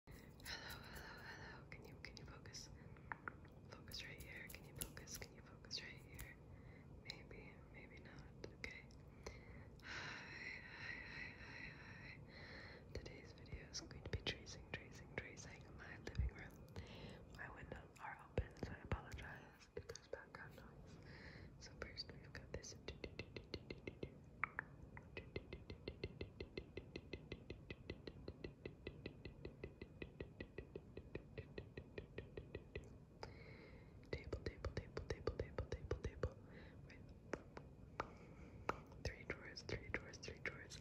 Hello, hello, hello. Can you can you focus? Focus right here. Can you focus? Can you focus right here? Maybe, maybe not. Okay. Hi, hi, hi, hi, Today's video is going to be tracing, tracing, tracing my living room. My windows are open, so I apologize if there's background noise. So first we've got this Table, table, table, table, table, table, table. With three drawers, three drawers, three drawers.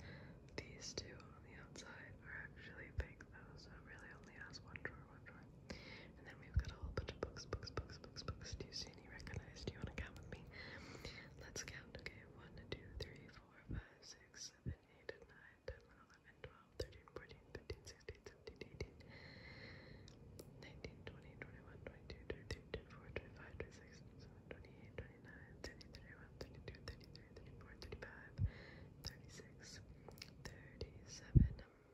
These two on the outside are actually fake though, so it really only has one drawer, one drawer. And then we've got a whole bunch of books, books, books, books, books. Do you see any recognized? Do you want to count with me? Let's count. Okay, 1, 2, 3, 4, 5, 6, 7, 8, 9, 10, 11, 12, 13, 14, 15, 16, 17, 18, 19, 20, 21, 22, 23, 24, 25, 26, 27, 28, 29, 30, 31, 32, 33, 34, 35, 36, 37.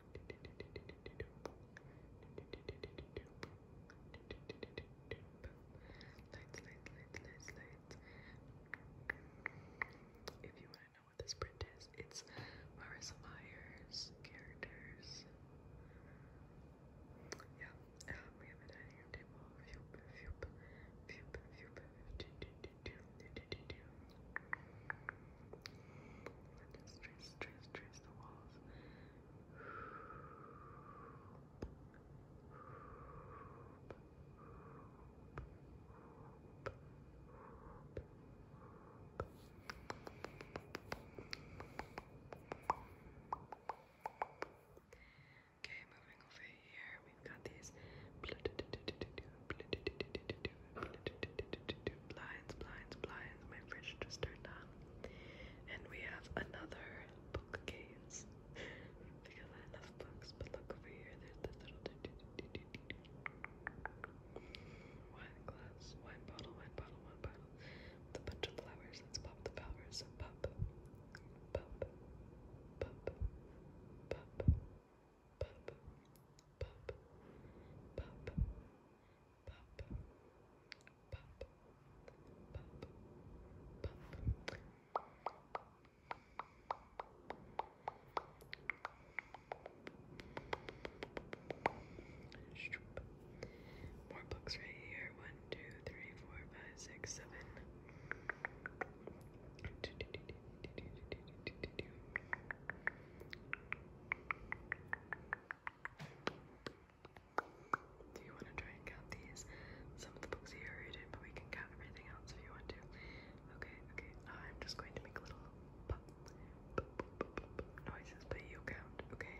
Lights, lights, lights, lights, lights. If you want to know what this print is, it's Marissa Myers characters. Yeah, um, we have a dining room table. Phoop, phoop, phoop, just trace, Okay, moving over here we've got these blinds, blinds, blinds. My fridge just turned on. And we have another bookcase. Because I love books, but look over here, there's this little wine glass, wine bottle, wine bottle, wine bottle. With bunch of flowers. Let's pop the flowers. pop, pop, pop, pop, pop, pop, pop, pop, pop, pop, pop, pop. More books right here. One, two, three, four, five, six, seven. Do you want to try and count these? Some of the books you already did, but we can count everything else if you want to. Okay, okay. I'm just going to make a little noises, but you count, okay?